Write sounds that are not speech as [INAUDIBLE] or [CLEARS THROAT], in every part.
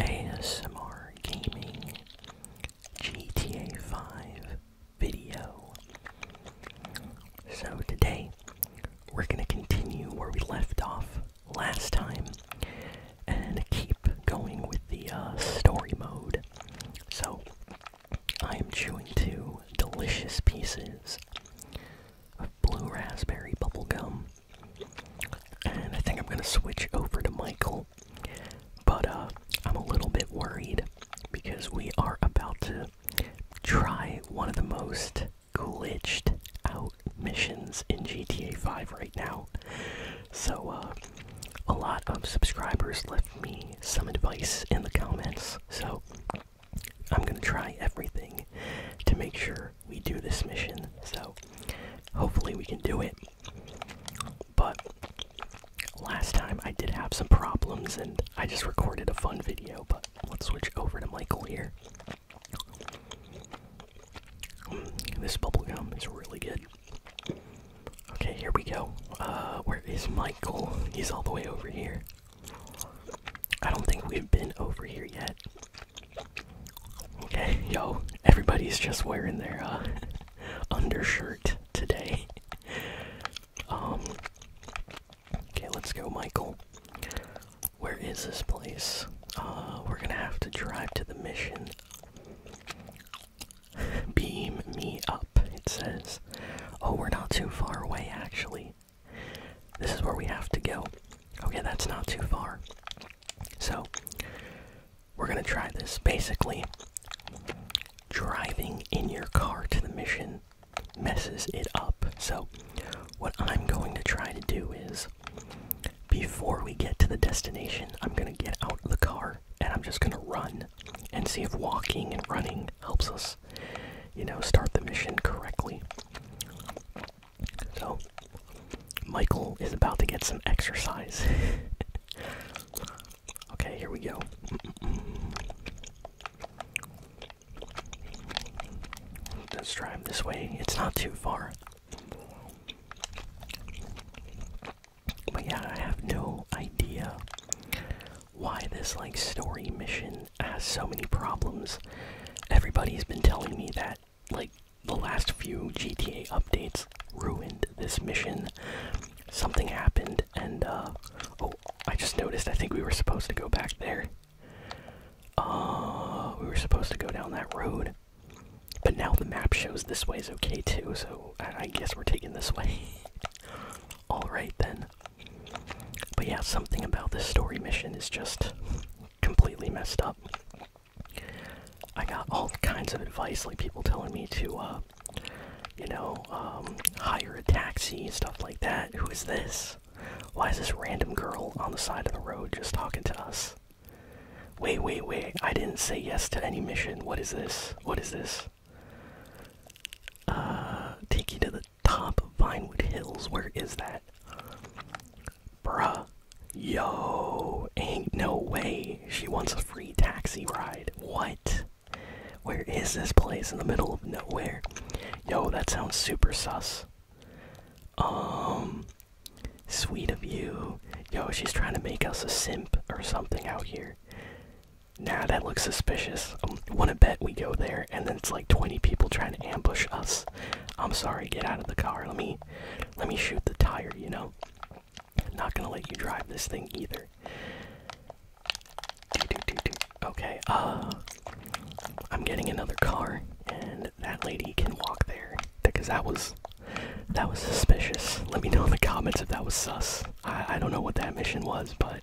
ASMR Gaming GTA 5 video. So today, we're going to continue where we left off last time and keep going with the uh, story mode. So, I am chewing two delicious pieces of blue raspberry bubblegum and I think I'm going to switch over to Michael. But uh, I'm a little bit worried because we are about to try one of the most glitched out missions in GTA 5 right now. So, uh, a lot of subscribers left me some advice in the comments. So, I'm going to try everything to make sure we do this mission, so hopefully we can do it. But last time I did have some problems and I just recorded a fun video, but let's switch over to Michael here. Mm, this bubble gum is really good. Okay, here we go. Uh, where is Michael? He's all the way over here. I don't think we've been over here yet. Okay, yo, everybody's just wearing their uh, [LAUGHS] undershirt today. [LAUGHS] um, okay, let's go, Michael. Where is this place? Uh, we're gonna have to drive to the mission. [SIGHS] Beam me up, it says. Oh, we're not too far away, actually. This is where we have to go. Okay, that's not too far. So, we're gonna try this. Basically, driving in your car to the mission messes it up. So, what I'm going to try to do is before we get to the destination, I'm gonna get out of the car and I'm just gonna run and see if walking and running helps us, you know, start the mission correctly. So, Michael is about to get some exercise. [LAUGHS] okay, here we go. Let's drive this way. It's not too far. But yeah, I have no idea why this like story mission has so many problems. Everybody's been telling me that like the last few GTA updates ruined this mission. Something happened, and uh, oh, I just noticed. I think we were supposed to go back there. Uh, we were supposed to go down that road, but now the map shows this way is okay too. So I, I guess we're taking this way. [LAUGHS] All right then. But yeah, something about this story mission is just completely messed up. I got all kinds of advice, like people telling me to, uh, you know, um, hire a taxi, and stuff like that. Who is this? Why is this random girl on the side of the road just talking to us? Wait, wait, wait. I didn't say yes to any mission. What is this? What is this? Uh, take you to the top of Vinewood Hills. Where is that? Bruh. Yo. Ain't no way. She wants a free taxi ride. What? Where is this place in the middle of nowhere? Yo, that sounds super sus. Um. Sweet of you. Yo, she's trying to make us a simp or something out here. Nah, that looks suspicious. I um, want to bet we go there and then it's like 20 people trying to ambush us. I'm sorry, get out of the car. Let me let me shoot the tire, you know. I'm not gonna let you drive this thing either. Okay, uh I'm getting another car and that lady can walk there because that was that was suspicious. Let me know in the comments if that was sus. I, I don't know what that mission was, but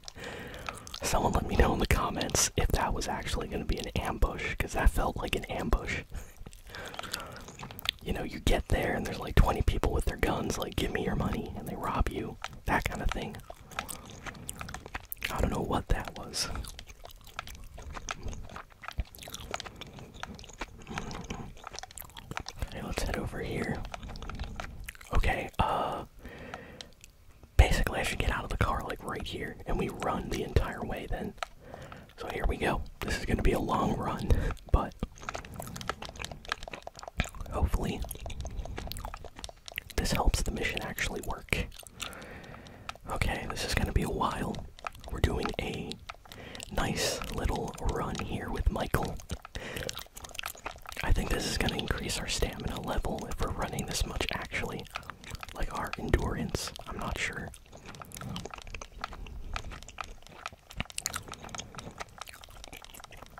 someone let me know in the comments if that was actually gonna be an ambush, because that felt like an ambush. [LAUGHS] you know, you get there and there's like 20 people with their guns, like, give me your money, and they rob you. That kind of thing. I don't know what that was. Okay, let's head over here. Okay, uh. Basically, I should get out of the car, like, right here, and we run the entire way then. So here we go. This is going to be a long run, but hopefully this helps the mission actually work. Okay, this is going to be a while. We're doing a nice little run here with Michael. I think this is going to increase our stamina level if we're running this much, actually. Like our endurance, I'm not sure.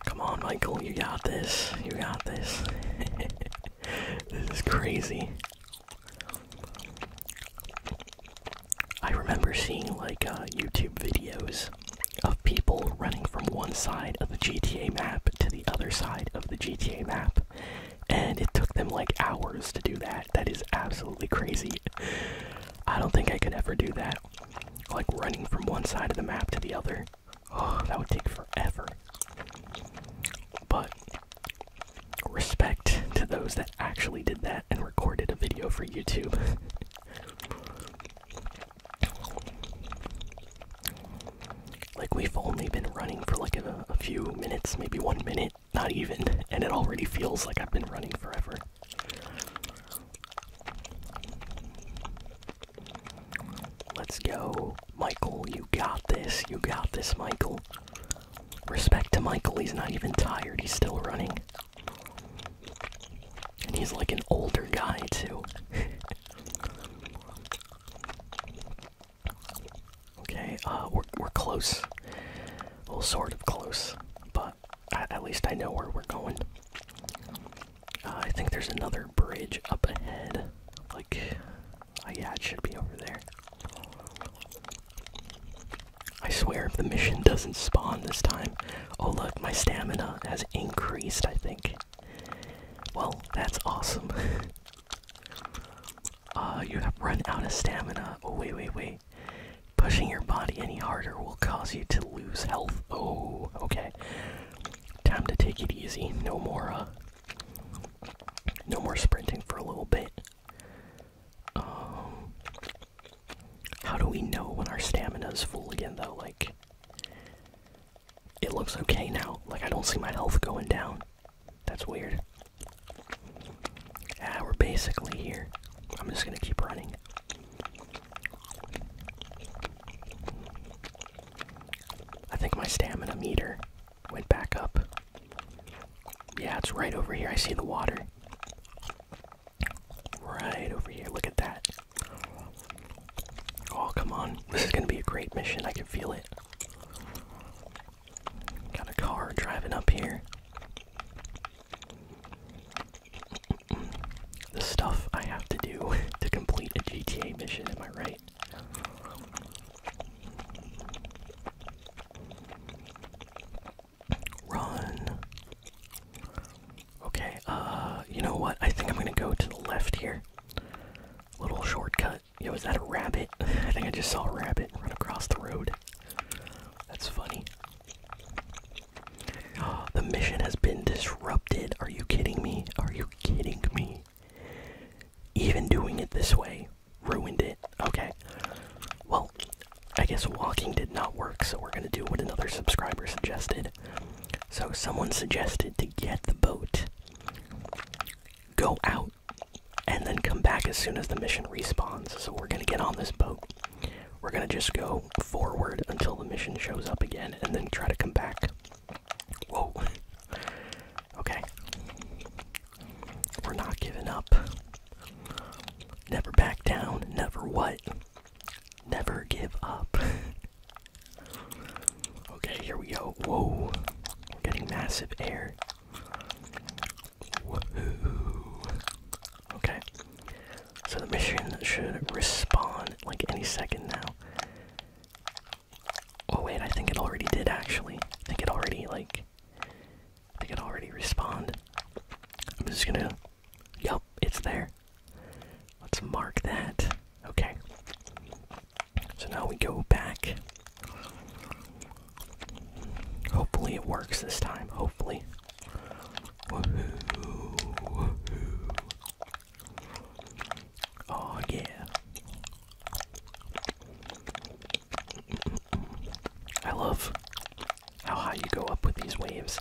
Come on, Michael, you got this. You got this. [LAUGHS] this is crazy. I remember seeing like uh, YouTube videos of people running from one side of the GTA map to the other side of the GTA map and it took them like hours to do that. That is absolutely crazy. I don't think I could ever do that. Like running from one side of the map to the other. Oh, that would take forever. But respect to those that actually did that and recorded a video for YouTube. [LAUGHS] like, we've only been running for like a few minutes, maybe one minute, not even. And it already feels like I've been running forever. Let's go. Michael, you got this. You got this, Michael. Respect to Michael, he's not even tired. He's still running. And he's like an older guy, too. [LAUGHS] Okay, uh, we're we're close. Well, sort of close, but at, least I know where we're going. Uh, I think there's another bridge up ahead. Like, uh, yeah, it should be over there. I swear, if the mission doesn't spawn this time, oh look, my stamina has increased. I think. Well, that's awesome. [LAUGHS] Uh, you have run out of stamina. Oh, wait, wait, wait. Pushing your body any harder will cause you to lose health. Oh, okay. Time to take it easy. No more, uh, no more sprinting for a little bit. Um, how do we know when our stamina is full again, though? Like, it looks okay now. Like, I don't see my health going down. That's weird. Yeah, we're basically here. I'm just gonna keep running. I think my stamina meter went back up. Yeah, it's right over here. I see the water. Right over here. Look at that. Oh, come on. This is gonna be a great mission. I can feel it. Got a car driving up here. [CLEARS THROAT] The stuff I have to do [LAUGHS] to complete a GTA mission, am I right? Run. Okay, uh, you know what? I think I'm gonna go to the left here. Little shortcut. Yo, is that a rabbit? [LAUGHS] I think I just saw a rabbit run across the road. That's funny. [GASPS] The mission has been disrupted. Are you kidding me? Are you kidding me? Even doing it this way ruined it. Okay. Well, I guess walking did not work, so we're gonna do what another subscriber suggested. So, someone suggested to get the boat, go out and then come back as soon as the mission respawns. So we're gonna get on this boat. We're gonna just go forward until the mission shows up again and then try to come back. Whoa. Okay. We're not giving up. Never back down. Never what? Never give up. [LAUGHS] okay, here we go. Whoa. We're getting massive air. Okay. So the machine should respond like any second now. Oh wait, I think it already did actually. I think it already like I think it already respawned. I'm just gonna yep, it's there. Let's mark that. Okay. So now we go back Hopefully it works this time. Hopefully. Woohoo, woohoo. Oh yeah. I love how high you go up with these waves.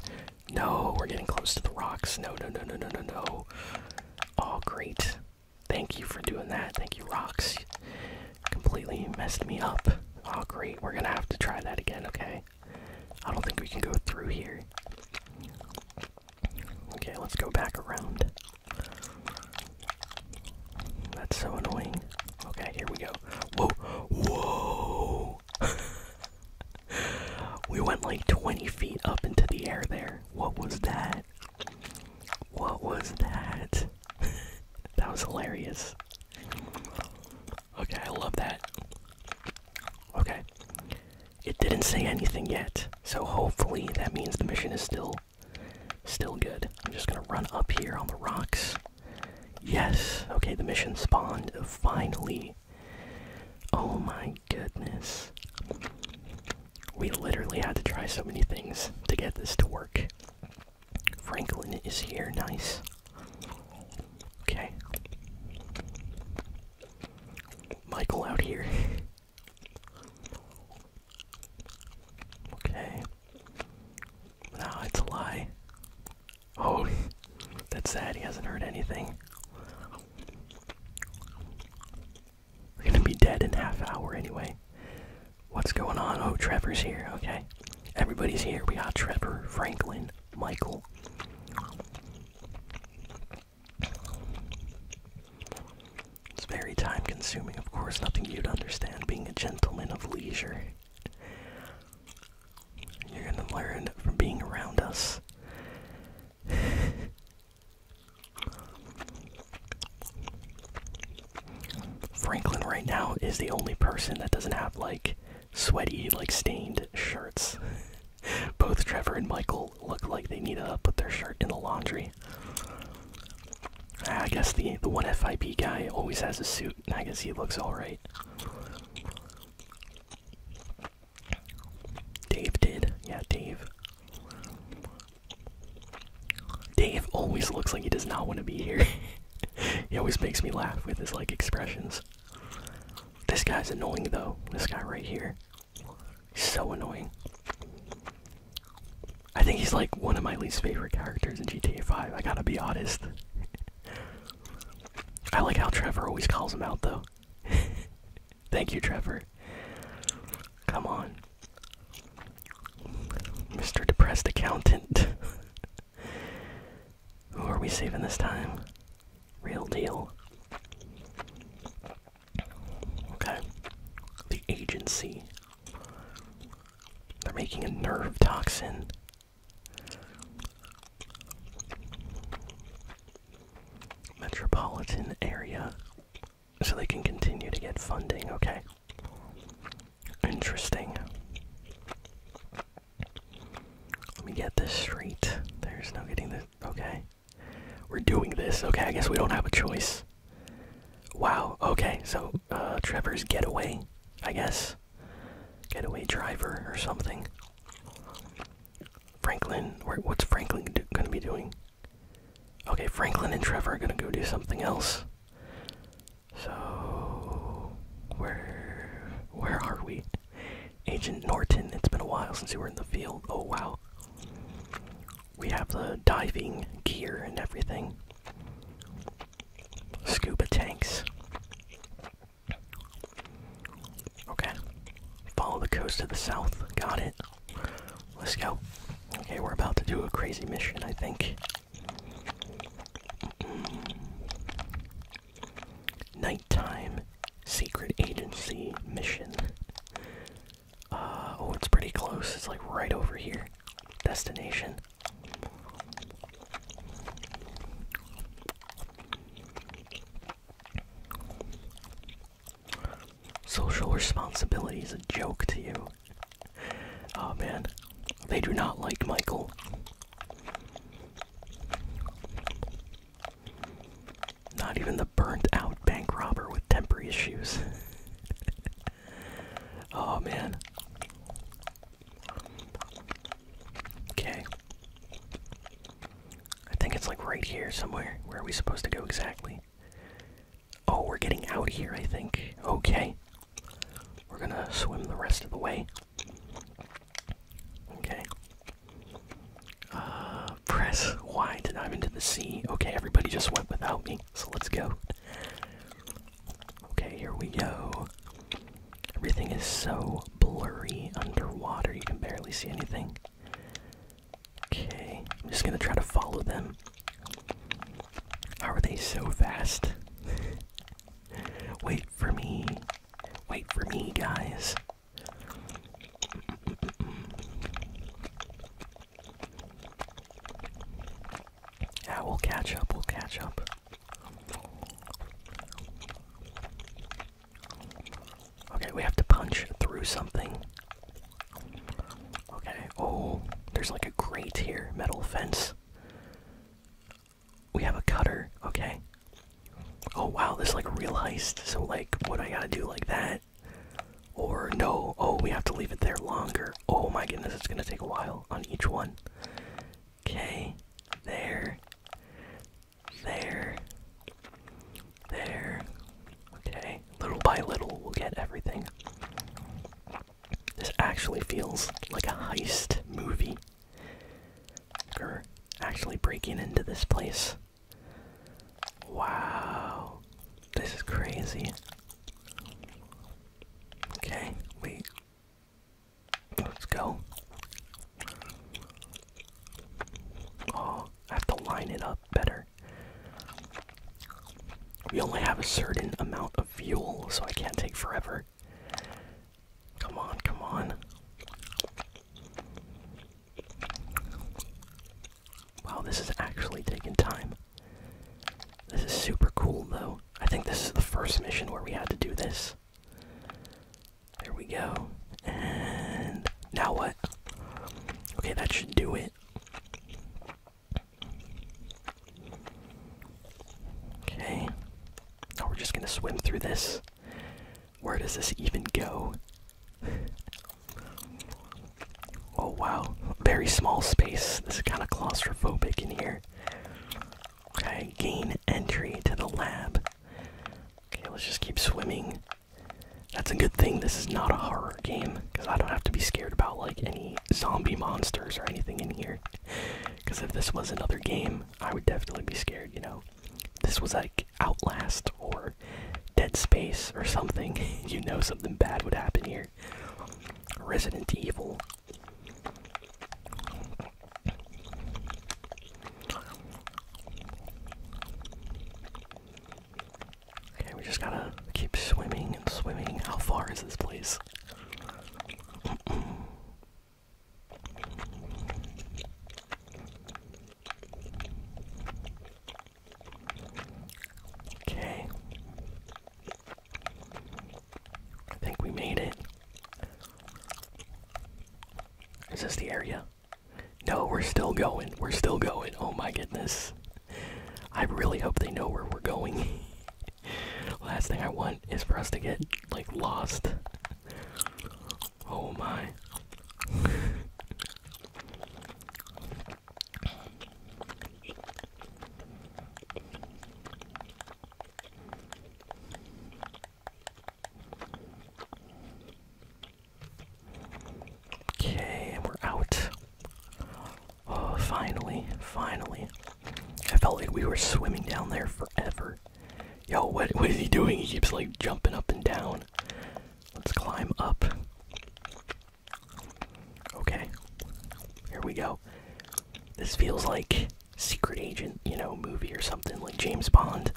No, we're getting close to the rocks. No, no, no, no, no, no, no. Oh, great. Thank you for doing that. Thank you, rocks completely messed me up. Oh, great. We're gonna have to try that again, okay? I don't think we can go through here. Okay, let's go back around. That's so annoying. Okay, here we go. Whoa! Whoa! [LAUGHS] we went like 20 feet up into the air there. What was that? What was that? that was hilarious. Okay, I love that. Okay. It didn't say anything yet, so hopefully that means the mission is still still good. I'm just gonna run up here on the rocks. Yes, okay, the mission spawned finally. Oh my goodness. We literally had to try so many things to get this to work. Franklin is here, nice. Okay. Michael out here. [LAUGHS] okay. No, it's a lie. Oh, [LAUGHS] that's sad. He hasn't heard anything. We're gonna be dead in half an hour anyway. What's going on? Oh, Trevor's here. Okay. Everybody's here. We got Trevor, Franklin, Michael. It's very time consuming, of course. Nothing you'd understand being a gentleman of leisure. You're gonna learn from being around us. Franklin right now is the only person that doesn't have like sweaty, like stained shirts. [LAUGHS] Both Trevor and Michael look like they need to put their shirt in the laundry. I guess the the one FIP guy always has a suit. I guess he looks all right. Dave did, yeah, Dave. Dave always looks like he does not want to be here. [LAUGHS] he always makes me laugh with his like expressions. This guy's annoying though. This guy right here. so annoying. I think he's like one of my least favorite characters in GTA 5. I gotta be honest. [LAUGHS] I like how Trevor always calls him out though. [LAUGHS] Thank you, Trevor. Come on. Mr. Depressed Accountant. [LAUGHS] Who are we saving this time? Real deal. Okay. The agency. They're making a nerve toxin. Metropolitan area. So they can continue to get funding, okay. Interesting. Let me get this straight. There's no getting this. Okay. We're doing this. Okay, I guess we don't have a choice. Wow. Okay, so uh, Trevor's getaway, I guess. Getaway driver or something. Franklin. what's Franklin gonna be doing? Okay, Franklin and Trevor are gonna go do something else. So where where are we? Agent Norton, it's been a while since you were in the field. Oh wow. We have the diving gear and everything. Scuba tanks. Okay. Follow the coast to the south. Got it. Let's go. Okay, we're about to do a crazy mission, I think. Nighttime secret agency mission. Uh, oh, it's pretty close. It's like right over here. Destination. Social responsibility is a joke to you oh man, they do not like Michael. Not even the burnt out bank robber with temporary issues. [LAUGHS] oh man. Okay. I think it's like right here somewhere. Where are we supposed to go exactly? Oh, we're getting out here, I think. Okay. We're gonna swim the rest of the way. Okay. Uh, press Y to dive into the sea. Okay, everybody just went without me, so let's go. Okay, here we go. Everything is so blurry underwater, you can barely see anything. Okay, I'm just gonna try to follow them. How are they so fast? Wait for me. Wait for me, guys. Yeah, we'll catch up, we'll catch up. Okay, we have to punch through something. Okay, oh, there's like a grate here, metal fence. We have a cutter, okay? Oh wow, this like real heist. So like what I gotta do like that? Or no, oh we have to leave it there longer. Oh my goodness, it's gonna take a while on each one. Okay, there, there, there. Okay, little by little we'll get everything. This actually feels like a heist movie. We're actually breaking into this place. Wow. This is crazy. Okay, wait. Let's go. Oh, I have to line it up better. We only have a certain amount of fuel, so I can't take forever. Come on, come on. Wow, this is actually taking time. This is super cool, though. I think this is the first mission where we had to do this. There we go. And now what? Okay, that should do it. Okay. Oh, we're just gonna swim through this. Where does this even go? oh wow, very small space. This is kind of claustrophobic in here. Okay, gain entry to the lab. Okay, let's just keep swimming. That's a good thing this is not a horror game, because I don't have to be scared about like any zombie monsters or anything in here. Because if this was another game, I would definitely be scared, you know? this was like Outlast or Dead Space or something, [LAUGHS] you know something bad would happen here. Resident Evil. Okay, we just gotta keep swimming and swimming. How far is this place? okay. I think we made it. Is this the area? No, we're still going. We're still going. Oh my goodness. I really hope they know where we're going. [LAUGHS] Last thing I want is for us to get like lost. Oh my. Okay, and we're out. Oh, finally, finally. I felt like we were swimming down there forever. Yo, what, what is he doing? He keeps like jumping up and down. Let's climb up. Okay, here we go. This feels like Secret Agent, you know, movie or something, like James Bond.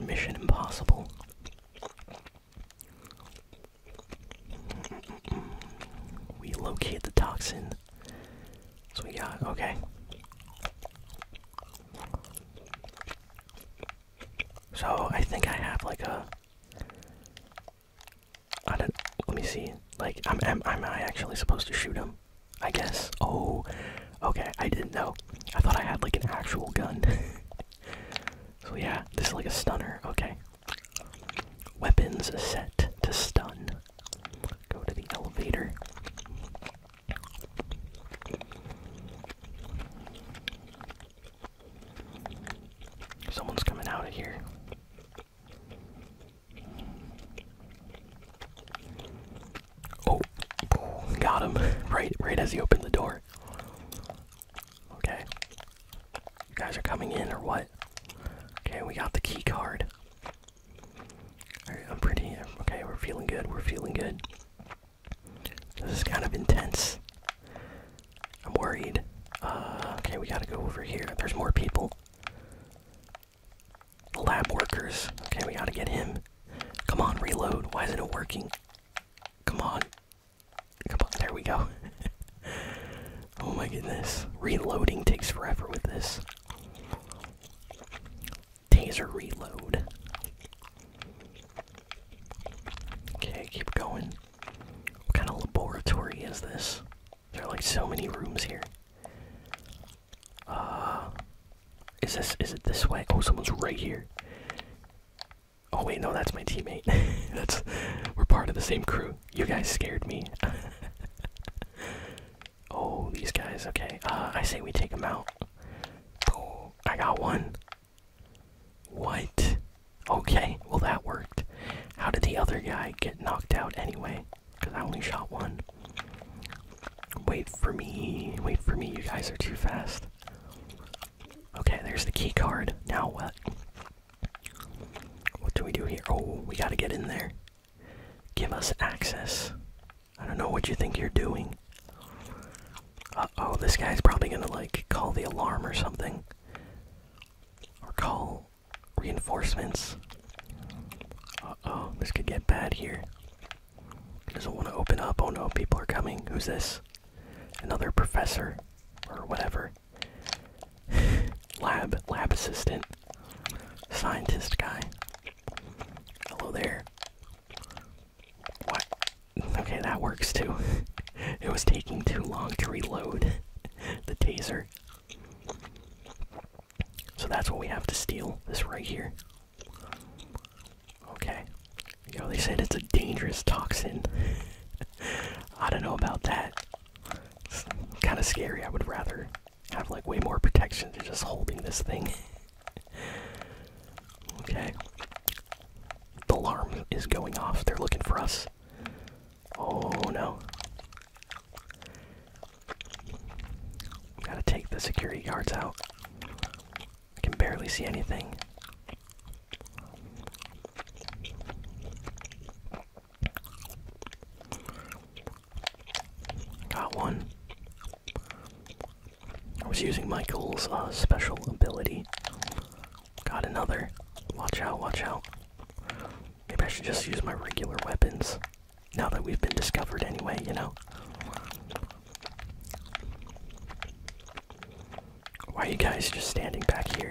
Mission Impossible. We locate the toxin. So we got okay. So I think I have like a. Let me see. Like I'm. Am, am I actually supposed to shoot him? I guess. Oh. Okay. I didn't know. I thought I had like an actual gun. [LAUGHS] so yeah, this is like a stunner. Okay. Weapons set to stun. Go to the elevator. Someone's coming out of here. Oh, got him! [LAUGHS] Right, right as he opened the door. Okay. You guys are coming in or what? Okay, we got the key card. Alright, I'm pretty. Okay, we're feeling good. We're feeling good. This is kind of intense. I'm worried. Uh, okay, we gotta go over here. There's more people. The lab workers. Okay, we gotta get him. Come on, reload. Why isn't it working? Come on. Come on, there we go. [LAUGHS] [LAUGHS] oh my goodness. Reloading takes forever with this. Taser reload. Okay, keep going. What kind of laboratory is this? There are like so many rooms here. Uh is this is it this way? Oh someone's right here. Oh wait, no, that's my teammate. [LAUGHS] that's we're part of the same crew. You guys scared me. [LAUGHS] oh, these guys. Okay. Uh, I say we take them out. I got one. What? Okay. Well, that worked. How did the other guy get knocked out anyway? Because I only shot one. Wait for me. Wait for me. You guys are too fast. Okay, there's the key card. Now what? What do we do here? Oh, we gotta get in there. Give us access. I don't know what you think you're doing. Uh oh, this guy's probably gonna like call the alarm or something. Or call reinforcements. Uh oh, this could get bad here. Doesn't want to open up. Oh no, people are coming. Who's this? Another professor or whatever lab, lab assistant, scientist guy. Hello there. What? Okay, that works too. [LAUGHS] it was taking too long to reload [LAUGHS] the taser. So that's what we have to steal, this right here. Okay. Yo, they said it's a dangerous toxin. [LAUGHS] I don't know about that kind of scary. I would rather have like way more protection than just holding this thing. [LAUGHS] okay. The alarm is going off. They're looking for us. Oh no. Gotta take the security guards out. I can barely see anything. Got one. I was using Michael's uh, special ability. Got another. Watch out, watch out. Maybe I should just use my regular weapons. Now that we've been discovered, anyway, you know? Why are you guys just standing back here?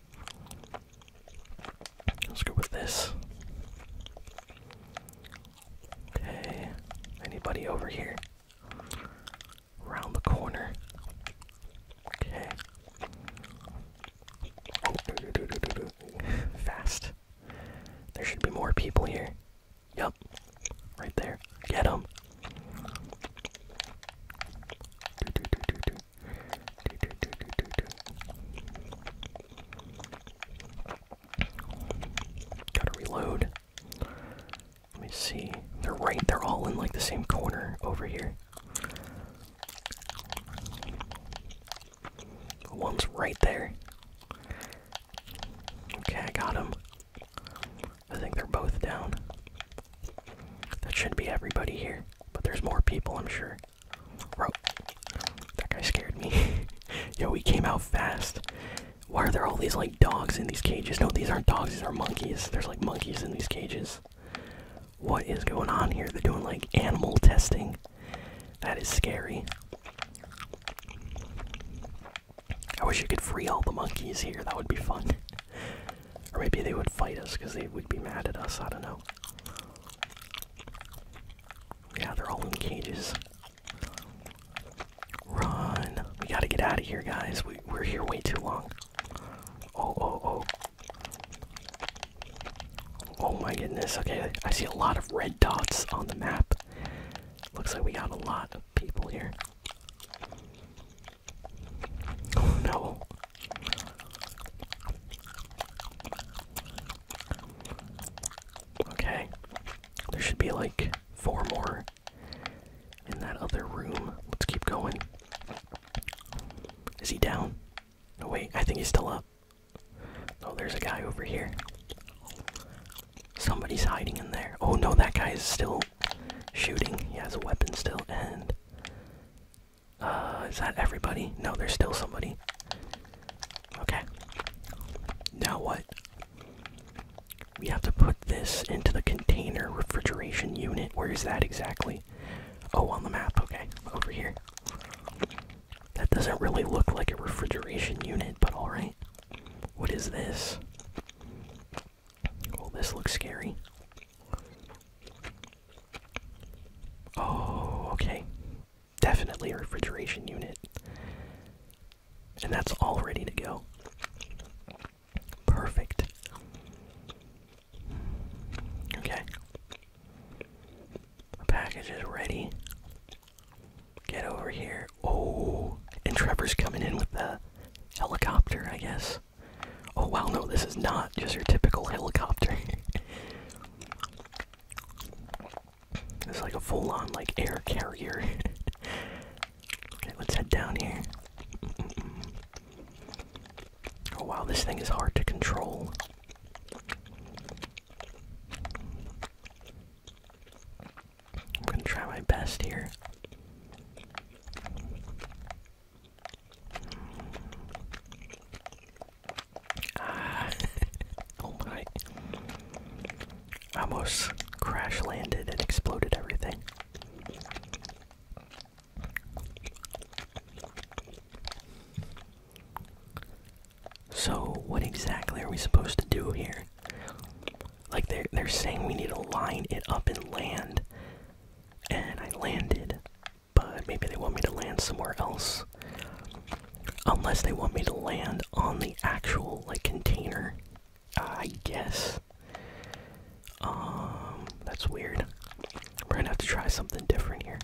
Let's go with this. Okay. Anybody over here? Around the corner. Okay. Oh, do, do, do, Fast. There should be more people here. Yup. Right there. Get them. Do, do, do, do, do. Gotta reload. Let me see. They're right, they're all in like the same corner over here. One's right there. Okay, I got him. I think they're both down. That should be everybody here, but there's more people, I'm sure. Bro, that guy scared me. [LAUGHS] Yo, we came out fast. Why are there all these like dogs in these cages? No, these aren't dogs, these are monkeys. There's like monkeys in these cages. What is going on here? They're doing like animal testing. That is scary. I wish you could free all the monkeys here. That would be fun. [LAUGHS] or maybe they would fight us because they would be mad at us. I don't know. Yeah, they're all in cages. Run! We gotta get out of here, guys. We, are here way too long. Oh, oh, oh. Oh my goodness. Okay, I see a lot of red dots on the map. Looks like we got a lot of people here. Oh no. Okay. There should be like four more in that other room. Let's keep going. Is he down? No, wait, I think he's still up. Oh, there's a guy over here. Somebody's hiding in there. Oh no, that guy is still shooting. He has a weapon still, and uh, is that everybody? No, there's still somebody. Okay. Now what? We have to put this into the container refrigeration unit. Where is that exactly? Oh, on the map. Okay, over here. That doesn't really look like a refrigeration unit, but alright. What is this? Well, this looks scary. Oh, okay. Definitely a refrigeration unit. And that's all ready to go. Perfect. Okay. The package is ready. Get over here. Oh, and Trevor's coming in with the helicopter, I guess. Oh, wow, no, this is not just your typical helicopter. [LAUGHS] It's like a full-on like air carrier. [LAUGHS] okay, let's head down here. Oh wow, this thing is hard to control. I'm gonna try my best here. [LAUGHS] oh my. Almost crash landed and exploded everything. So, what exactly are we supposed to do here? Like, they're, they're saying we need to line it up and land. And I landed but maybe they want me to land somewhere else. Unless they want me to land on the actual like container, I guess. Um, that's weird. We're gonna have to try something different here.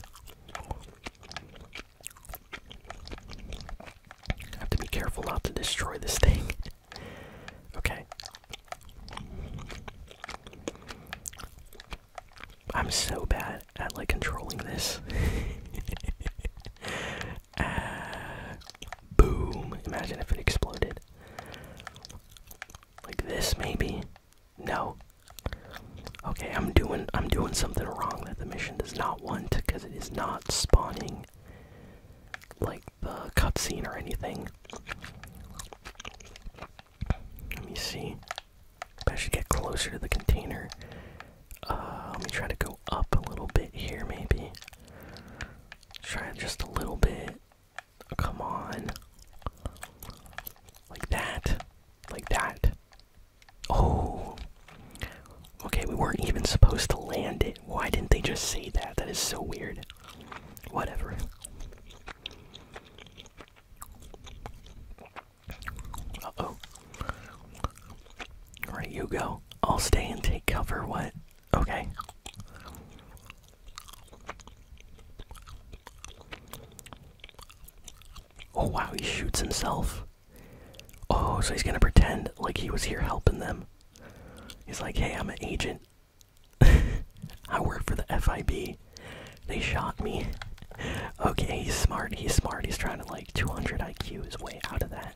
I have to be careful not to destroy this thing. [LAUGHS] okay. I'm so bad at like controlling this. [LAUGHS] Uh, boom! Imagine if it exploded. Like this, maybe? No. Okay, I'm doing I'm doing something wrong that the mission does not want because it is not spawning like the cutscene or anything. Let me see. I should get closer to the container. Uh, let me try to go up a little bit here, maybe. Try just a little bit. Oh, come on. Like that. Like that. Oh. Okay, we weren't even supposed to land it. Why didn't they just say that? That is so weird. Whatever. Uh oh. Alright, you go. I'll stay and take cover. What? Okay. Oh wow, he shoots himself. Oh, so he's gonna pretend like he was here helping them. He's like, hey, I'm an agent. [LAUGHS] I work for the FIB. They shot me. Okay, he's smart. He's smart. He's trying to like 200 IQ is way out of that.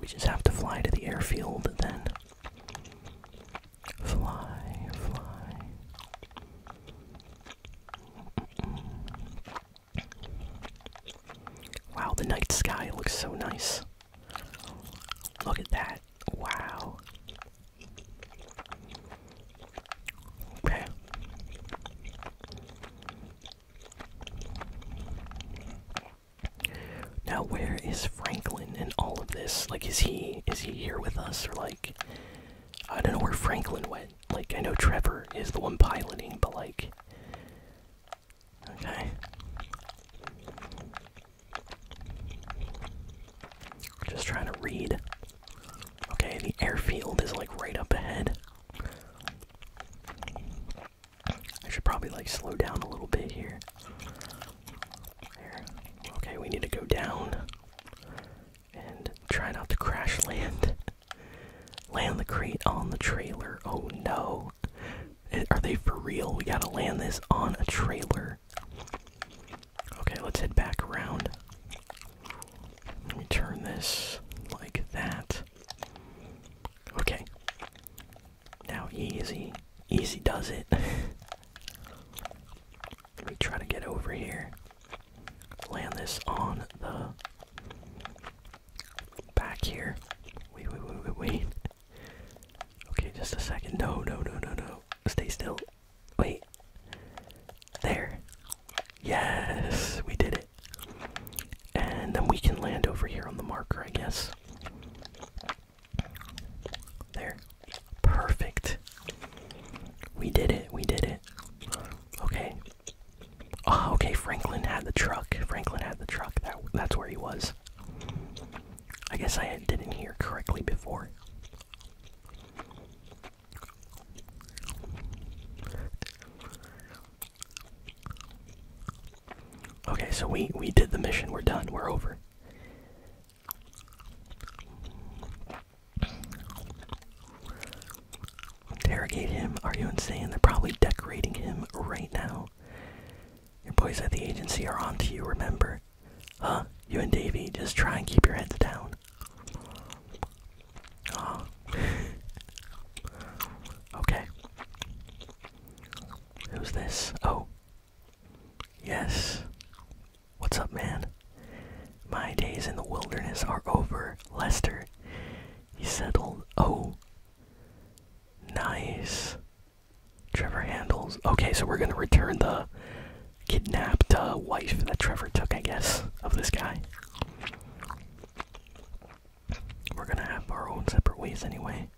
We just have to fly to the airfield then. Fly, fly. Wow, the night sky looks so nice. Look at that. Wow. Okay. Now where is Franklin in all of this? Like is he is he here with us or like I don't know where Franklin went. Like I know Trevor is the one piloting, but like Okay. Just trying to read Okay, the airfield is like right up ahead. I should probably like slow down a little bit here. Okay, we need to go down and try not to crash land. [LAUGHS] land the crate on the trailer. Oh no. Are they for real? We gotta land this on a trailer. Okay, let's head back around. Let me turn this like that. Okay. Now, easy. Easy does it. [LAUGHS] Let me try to get over here. Land this on the back here. wait, wait, wait, wait. Okay, just a second. No, no, no, no, no. Stay still. Wait. There. Yes, we did it. And then we can land over here on the marker, I guess. There. Perfect. We did it. We did it. Okay. Oh, okay. Franklin had the truck. Franklin had the truck. That that's where he was. I guess I didn't hear correctly before. Okay, so we we did the mission. We're done. We're over. Interrogate him. Are you insane? They're probably decorating him right now. Your boys at the agency are on to you, remember? Huh? You and Davy, just try and keep your heads down. Oh. okay. Who's this? Oh. Yes. What's up, man? My days in the wilderness are over, Lester. He settled. Oh. Nice. Trevor handles. Okay, so we're gonna return the kidnapped wife that Trevor took, I guess, of this guy. We're gonna have our own separate ways anyway.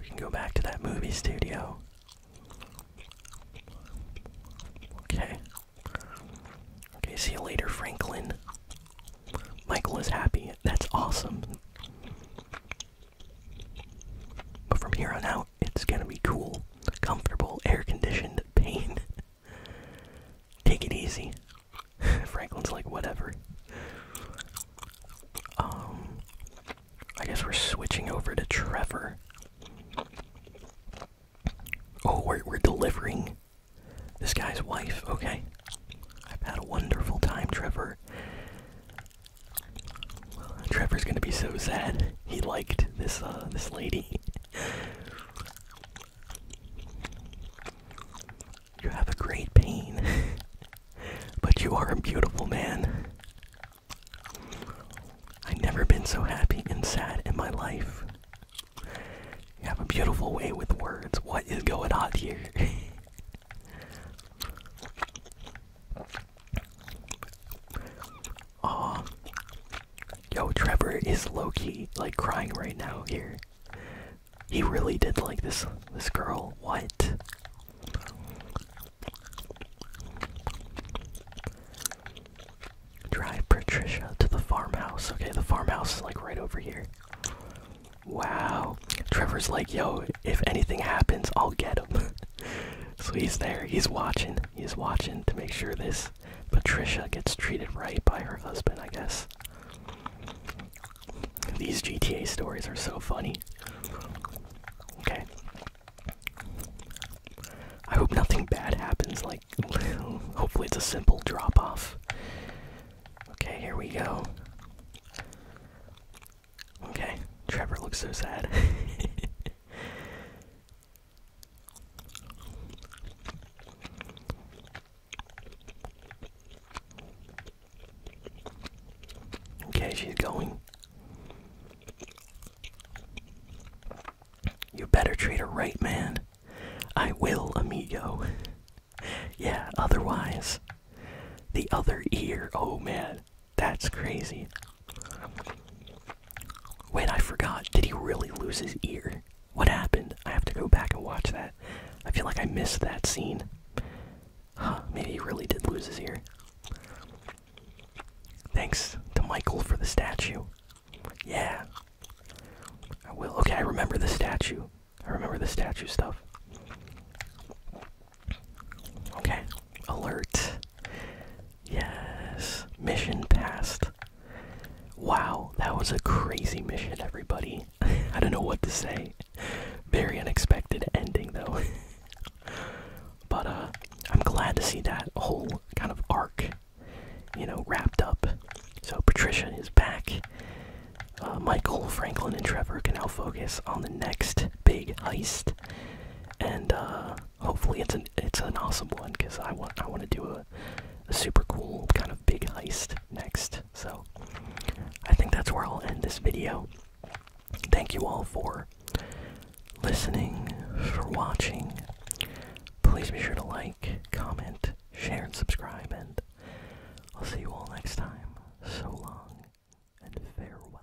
We can go back to that movie studio. Okay. Okay, see you later, Franklin. Michael is happy. That's awesome. But from here on out, it's gonna be cool, comfortable, air conditioned pain. [LAUGHS] Take it easy. [LAUGHS] Franklin's like, whatever. Um, I guess we're switching over to Trevor. Oh, we're, we're delivering this guy's wife. Okay. I've had a wonderful time, Trevor. Trevor's gonna be so sad. He liked this uh, this lady. You have a great pain, but you are a beautiful man. I've never been so happy and sad in my life. You have a beautiful way with words. What is going on here? [LAUGHS] Aw. Um, yo, Trevor is low-key, like, crying right now here. He really did like this this girl. What? Drive Patricia to the farmhouse. Okay, the farmhouse is like right over here. Wow. Trevor's like, yo, if anything happens, I'll get him. [LAUGHS] so he's there. He's watching. He's watching to make sure this Patricia gets treated right by her husband, I guess. These GTA stories are so funny. Okay. I hope nothing bad happens. Like, [LAUGHS] hopefully, it's a simple drop off. Okay, here we go. Okay, Trevor looks so sad. [LAUGHS] Okay, she's going. You better treat her right, man. I will, amigo. [LAUGHS] yeah, otherwise. The other ear. Oh, man. That's crazy. Wait, I forgot. Did he really lose his ear? What happened? I have to go back and watch that. I feel like I missed that scene. maybe he really did lose his ear. Thanks to Michael for the statue. Yeah. I will. Okay, I remember the statue. I remember the statue stuff. Okay, alert. Yes, mission passed. Wow, that was a crazy mission, everybody. [LAUGHS] I don't know what to say. Very unexpected ending, though. [LAUGHS] but uh, I'm glad to see that whole kind of arc, you know, wrapped up. So Patricia is back. Uh, Michael, Franklin, and Trevor can now focus on the next big heist. And uh, hopefully it's an it's an awesome one because I want I want to do a, a super cool kind of big heist next. So I think that's where I'll end this video. Thank you all for listening, for watching. Please be sure to like, comment, share, and subscribe, and I'll see you all next time. So long and farewell.